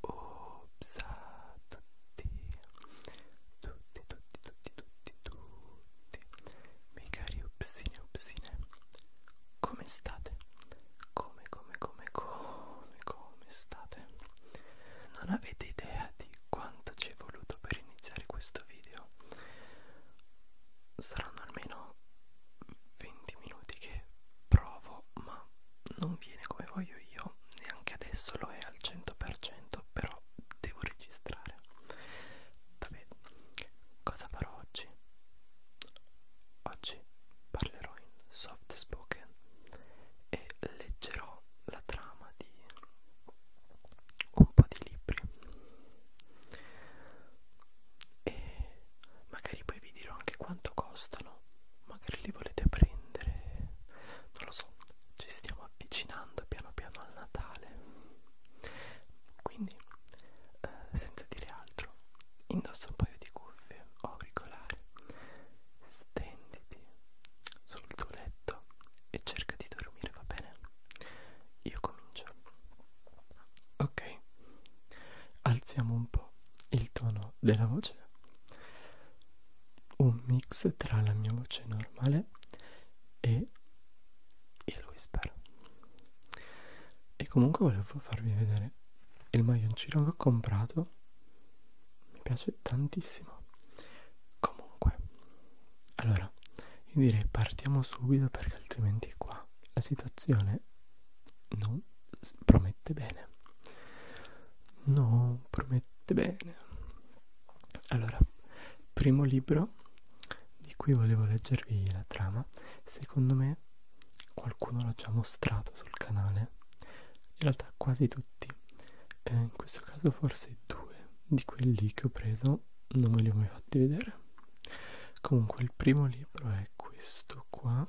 Ops a tutti, tutti, tutti, tutti, tutti, tutti, miei cari upsine, upsine, come state? Come, come, come, come, come state? Non avete idea di quanto ci è voluto per iniziare questo video? saranno almeno 20 minuti che provo ma non viene come voglio io neanche adesso lo è al 100% però devo registrare vabbè cosa farò oggi oggi parlerò in soft spoken e leggerò la trama di un po' di libri e magari poi vi dirò anche quanto costano magari li volete prendere non lo so ci stiamo avvicinando piano piano al Natale quindi eh, senza dire altro indossa un paio di cuffie o auricolari stenditi sul tuo letto e cerca di dormire va bene io comincio ok alziamo un po' il tono della voce un mix tra la mia voce normale e il whisper e comunque volevo farvi vedere il maglioncino che ho comprato mi piace tantissimo comunque allora io direi partiamo subito perché altrimenti qua la situazione non promette bene non promette bene allora primo libro di cui volevo leggervi la trama secondo me qualcuno l'ha già mostrato sul canale in realtà quasi tutti eh, in questo caso forse due di quelli che ho preso non me li ho mai fatti vedere comunque il primo libro è questo qua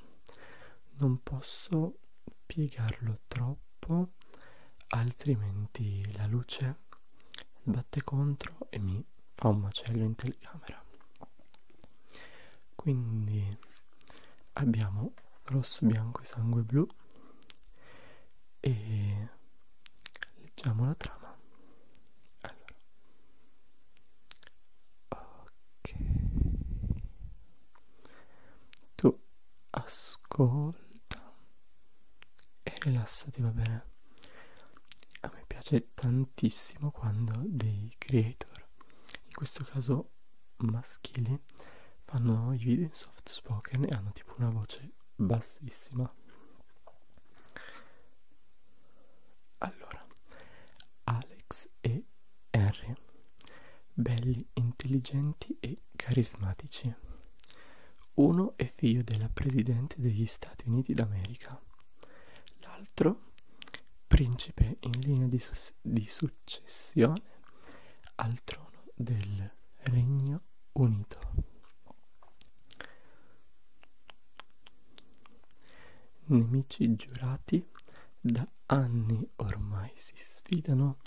non posso piegarlo troppo altrimenti la luce sbatte contro e mi fa un macello in telecamera quindi abbiamo rosso bianco e sangue blu e Leggiamo la trama. Allora. Ok. Tu ascolta e rilassati, va bene? A me piace tantissimo quando dei creator, in questo caso maschili, fanno i video in soft spoken e hanno tipo una voce bassa bassissima allora Alex e Harry belli intelligenti e carismatici uno è figlio della presidente degli Stati Uniti d'America l'altro principe in linea di, di successione al trono del regno Regno Unito. Nemici giurati da anni ormai si sfidano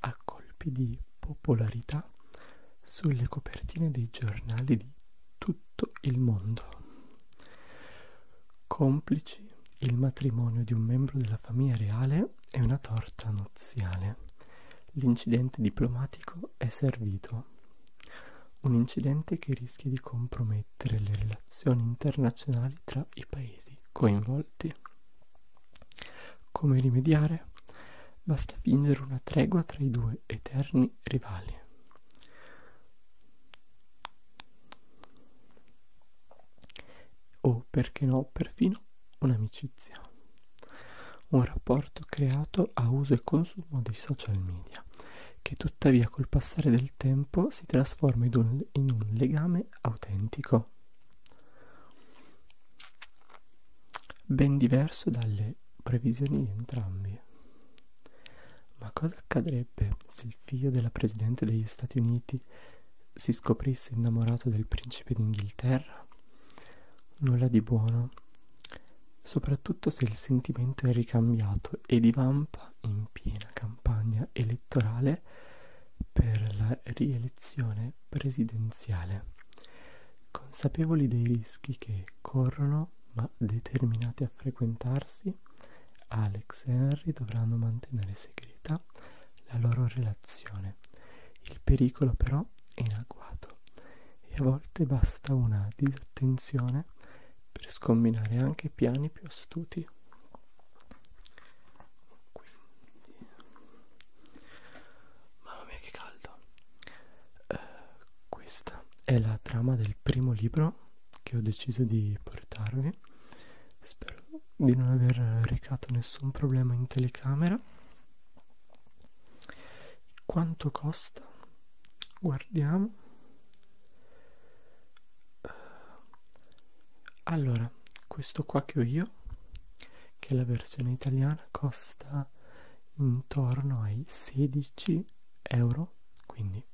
a colpi di popolarità sulle copertine dei giornali di tutto il mondo. Complici il matrimonio di un membro della famiglia reale e una torta nuziale L'incidente diplomatico è servito. Un incidente che rischia di compromettere le relazioni internazionali tra i paesi coinvolti. Come rimediare? Basta fingere una tregua tra i due eterni rivali. O perché no, perfino un'amicizia un rapporto creato a uso e consumo dei social media, che tuttavia col passare del tempo si trasforma in un, in un legame autentico, ben diverso dalle previsioni di entrambi. Ma cosa accadrebbe se il figlio della Presidente degli Stati Uniti si scoprisse innamorato del principe d'Inghilterra? Nulla di buono, soprattutto se il sentimento è ricambiato e divampa in piena campagna elettorale per la rielezione presidenziale. Consapevoli dei rischi che corrono, ma determinati a frequentarsi, Alex e Henry dovranno mantenere segreta la loro relazione. Il pericolo però sono in agguato e a volte basta una disattenzione per scombinare anche piani più astuti. Quindi, mamma mia che caldo! Eh, questa è la trama del primo libro che ho deciso di portarvi. Spero di non aver recato nessun problema in telecamera. Quanto costa? Guardiamo. Allora, questo qua che ho io, che è la versione italiana, costa intorno ai 16 euro, quindi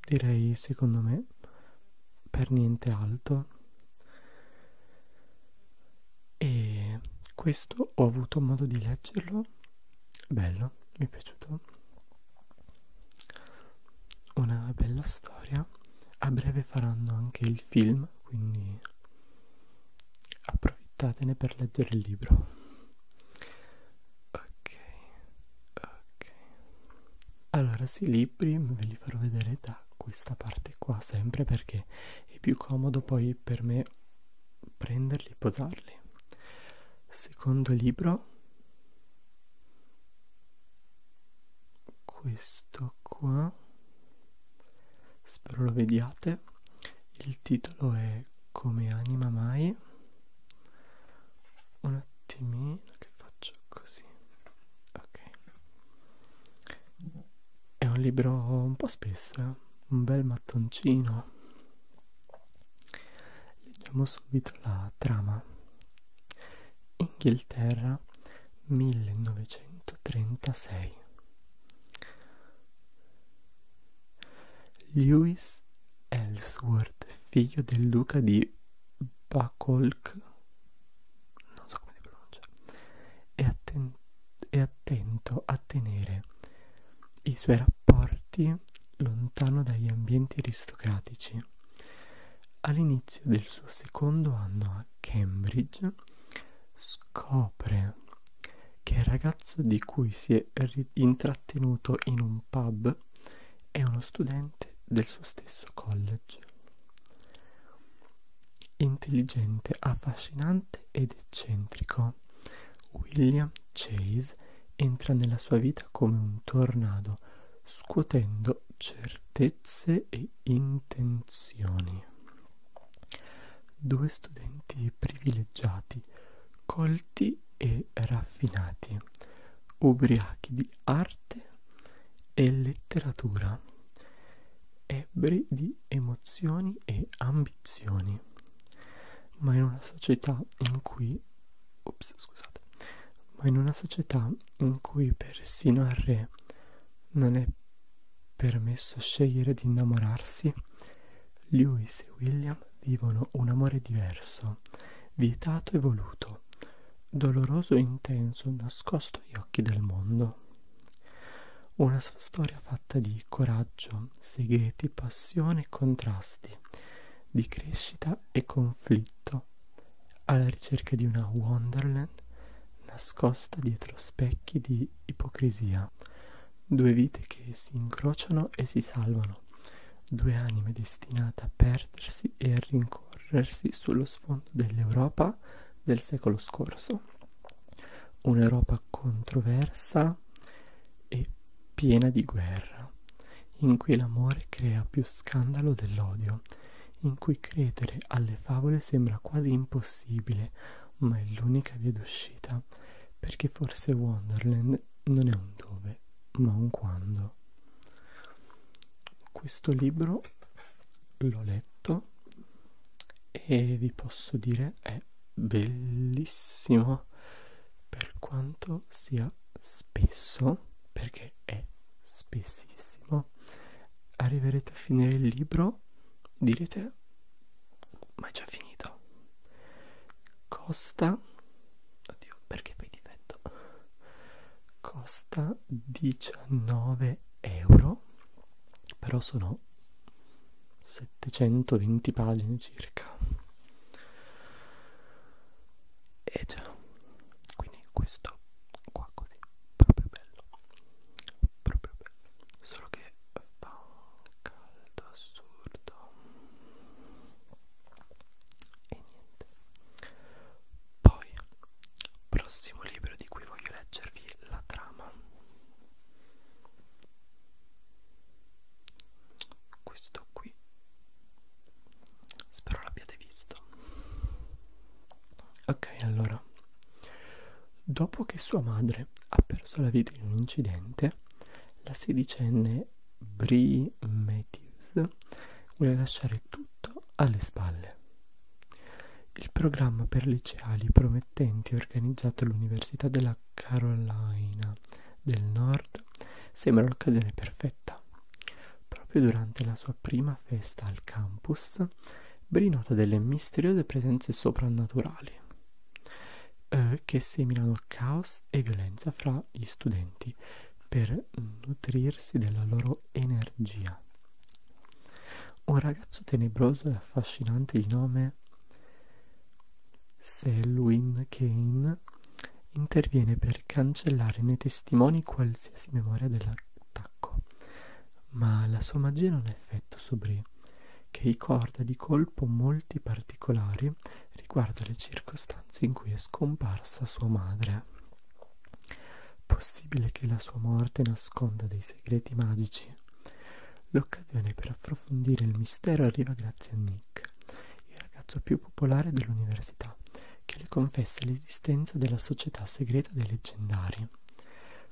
direi secondo me per niente alto e questo ho avuto modo di leggerlo bello mi è piaciuto una bella storia a breve faranno anche il film quindi approfittatene per leggere il libro ok ok allora sì libri ve li farò vedere da questa parte qua sempre perché è più comodo poi per me prenderli e posarli secondo libro questo qua spero lo vediate il titolo è come anima mai un attimino che faccio così ok è un libro un po' spesso, eh? un bel mattoncino. Leggiamo subito la trama. Inghilterra 1936. Lewis Ellsworth, figlio del duca di Buckolk, non so come si pronuncia e, atten e attento a tenere i suoi rapporti lontano dagli ambienti aristocratici all'inizio del suo secondo anno a Cambridge scopre che il ragazzo di cui si è intrattenuto in un pub è uno studente del suo stesso college Intelligente, affascinante ed eccentrico, William Chase entra nella sua vita come un tornado, scuotendo certezze e intenzioni. Due studenti privilegiati, colti e raffinati, ubriachi di arte arte e letteratura, ebbre di emozioni e ambizioni, ma in una società in cui, ops, scusate, ma in una società in cui persino al re non è permesso scegliere di innamorarsi, Lewis e William vivono un amore diverso, vietato e voluto, doloroso e intenso nascosto agli occhi del mondo. Una sua storia fatta di coraggio, segreti, passione e contrasti, di crescita e conflitto, alla ricerca di una Wonderland nascosta dietro specchi di ipocrisia, due vite che si incrociano e si salvano, due anime destinate a perdersi e a rincorrersi rincorrersi sullo sfondo dell'Europa del secolo scorso, un'Europa controversa e piena di guerra, in cui l'amore crea più scandalo dell'odio, in cui credere alle favole sembra quasi impossibile, ma è l'unica via d'uscita, perché forse Wonderland non è un dove, ma un quando. Questo libro l'ho letto e vi posso dire è bellissimo per quanto sia spesso, perché è spessissimo. Arriverete a finire il libro e direte ma è già finito. Costa, oddio, perché per difetto costa 19 euro però sono 720 pagine circa e già quindi questo qua così proprio bello proprio bello solo che fa un caldo assurdo e niente poi prossimo libro di cui voglio leggervi la trama questo qui spero l'abbiate visto ok allora dopo che sua madre ha perso la vita in un incidente la sedicenne Brie Matthews vuole lasciare tutto alle spalle. Il programma per liceali promettenti organizzato all'Università della Carolina del Nord sembra l'occasione perfetta. Proprio durante la sua prima festa al campus, Bri nota delle misteriose presenze soprannaturali eh, che seminano caos e violenza fra gli studenti per nutrirsi della loro energia. Un ragazzo tenebroso e affascinante di nome Selwyn Kane interviene per cancellare nei testimoni qualsiasi memoria dell'attacco, ma la sua magia non ha effetto su Bree, che ricorda di colpo molti particolari Mary riguardo le circostanze in cui è scomparsa sua madre. Possibile che la sua morte nasconda dei segreti magici? L'occasione per approfondire il mistero arriva grazie a Nick, il ragazzo più popolare dell'università, che le confessa l'esistenza della società segreta dei leggendari.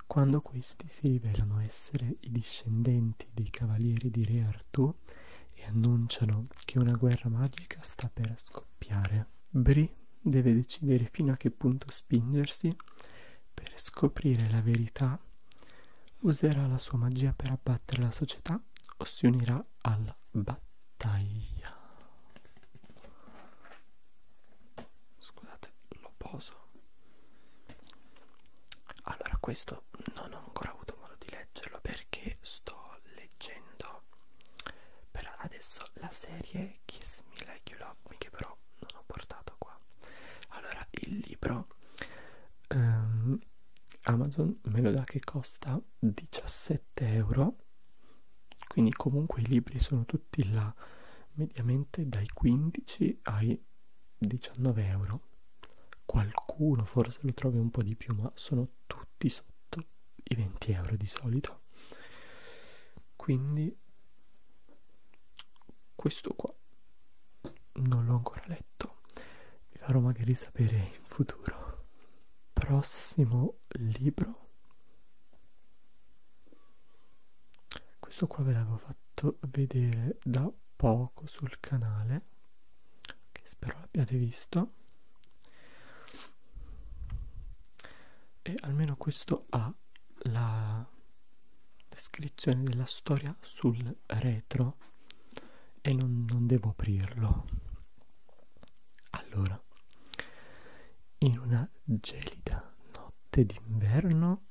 Quando questi si rivelano essere i discendenti dei cavalieri di Re Artù, fuoco e annunciano che una guerra magica sta per scoppiare. Bri deve decidere fino a che punto spingersi per scoprire la verità. Userà la sua magia per abbattere la società o si unirà alla battaglia. Scusate, lo poso allora questo non ho ancora avuto modo di leggerlo perché sto leggendo per adesso la serie Kiss Me Like You Love Me che però non ho portato qua allora il libro um, Amazon me lo dà che costa 17 euro quindi comunque i libri sono tutti là mediamente dai 15 ai 19 euro mano qualcuno forse lo trovi un po' di più ma sono tutti sotto i 20 euro di solito quindi questo qua non l'ho ancora letto vi farò magari sapere in futuro prossimo libro questo qua ve l'avevo fatto vedere da poco sul canale che spero abbiate visto e almeno questo ha la descrizione della storia sul retro e non, non devo aprirlo allora in una gelida notte d'inverno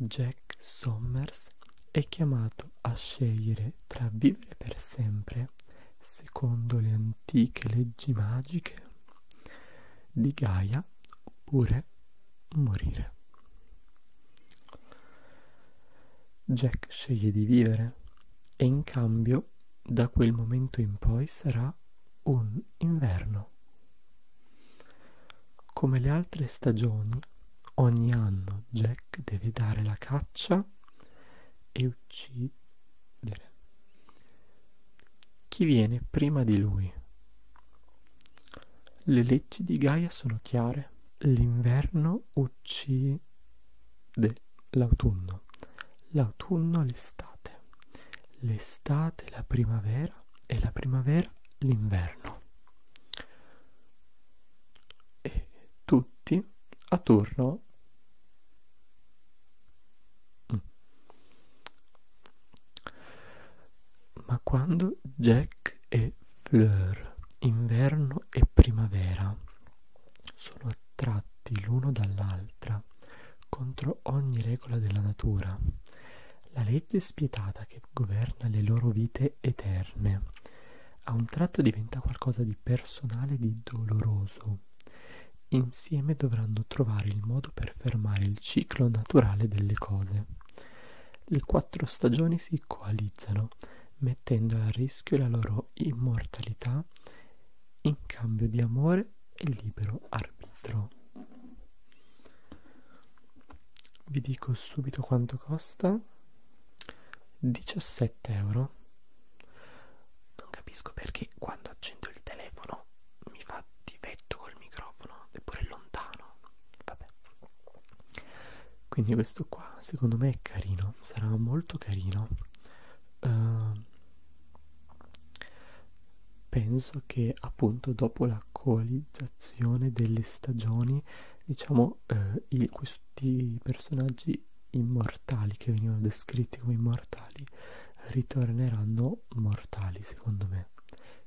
Jack Sommers è chiamato a scegliere tra vivere per sempre secondo le antiche leggi magiche di Gaia oppure morire. Jack sceglie di vivere e in cambio da quel momento in poi sarà un inverno come le altre stagioni, ogni anno Jack deve dare la caccia e uccidere chi viene prima di lui. Le leggi di Gaia sono chiare. L'inverno uccide l'autunno, l'autunno l'estate, l'estate la primavera primavera e la primavera l'inverno. E tutti a turno mm. ma quando Jack e Fleur, inverno e primavera, sono attratti l'uno dall'altra contro ogni regola della natura, la legge spietata che governa le loro vite eterne. A un tratto diventa qualcosa di personale e di doloroso. Insieme dovranno trovare il modo per fermare il ciclo naturale delle cose. Le quattro stagioni si coalizzano, mettendo a rischio la loro immortalità in cambio di amore e libero arbitro vi dico subito quanto costa 17 euro non capisco perché quando accendo il telefono mi fa difetto col microfono eppure lontano vabbè quindi questo qua secondo me è carino sarà molto carino uh, penso che appunto dopo la coalizzazione delle stagioni diciamo eh, i, questi personaggi immortali che venivano descritti come immortali ritorneranno mortali secondo me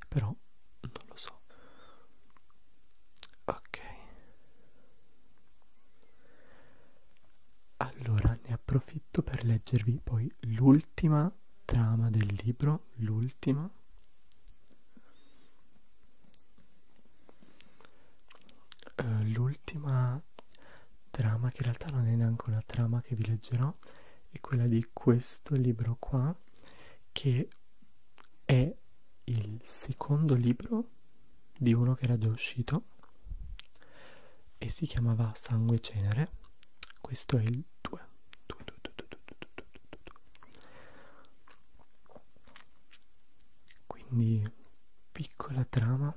però non lo so ok allora ne approfitto per leggervi poi l'ultimo l'ultima trama del libro, l'ultima. Uh, l'ultima trama, che in realtà non è neanche una trama che vi leggerò, è quella di questo libro qua, che è il secondo libro di uno che era già uscito e si chiamava Sangue Cenere. Questo è il 2 2 2 2 2 2 2 2 quindi piccola trama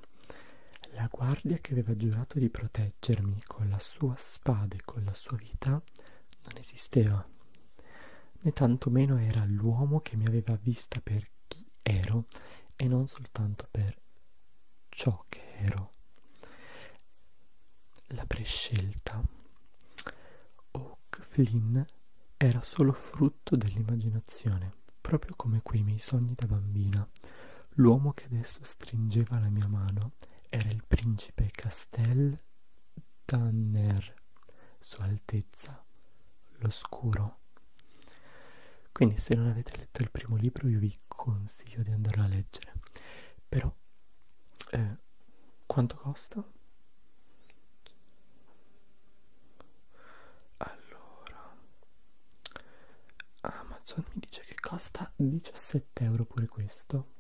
la guardia che aveva giurato di proteggermi con la sua spada e con la sua vita non esisteva né tantomeno era l'uomo che mi aveva vista per chi ero e non soltanto per ciò uomo che ero, la prescelta, Oak Flynn era solo frutto dell'immaginazione, proprio come quei miei sogni da bambina. L'uomo che adesso stringeva la mia mano era il principe Castel Tanner, Sua Altezza l'Oscuro. Quindi se non avete letto il primo libro io vi consiglio di andarlo a leggere. Però eh, quanto costa? Allora, Amazon mi dice che costa 17 euro pure questo.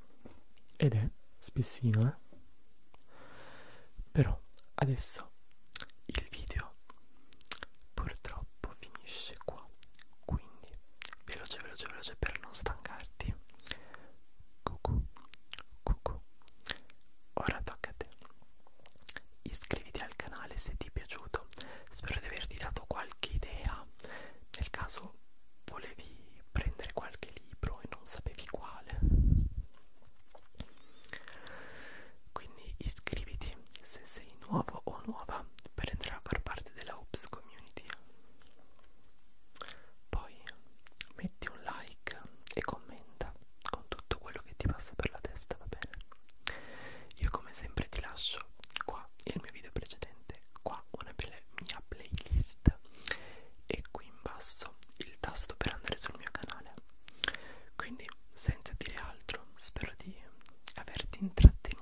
Ed è spessino, eh? Però adesso il video purtroppo purtroppo finisce qua quindi veloce veloce veloce per non stancarti cucù cucù ora tocca a te iscriviti al canale se ti è piaciuto spero di averti dato qualche idea nel caso volevi prendere qualche libro e non sapevi quale quindi iscriviti se sei sei nuovo o nuova per entrare a far parte della Oops Community. Poi metti un like e commenta con tutto quello che ti passa per la testa, va bene? Io come sempre ti lascio qua il mio video precedente, qua una mia playlist e qui in basso il tasto per andare sul mio canale. Quindi senza dire altro, spero di averti intrattenuto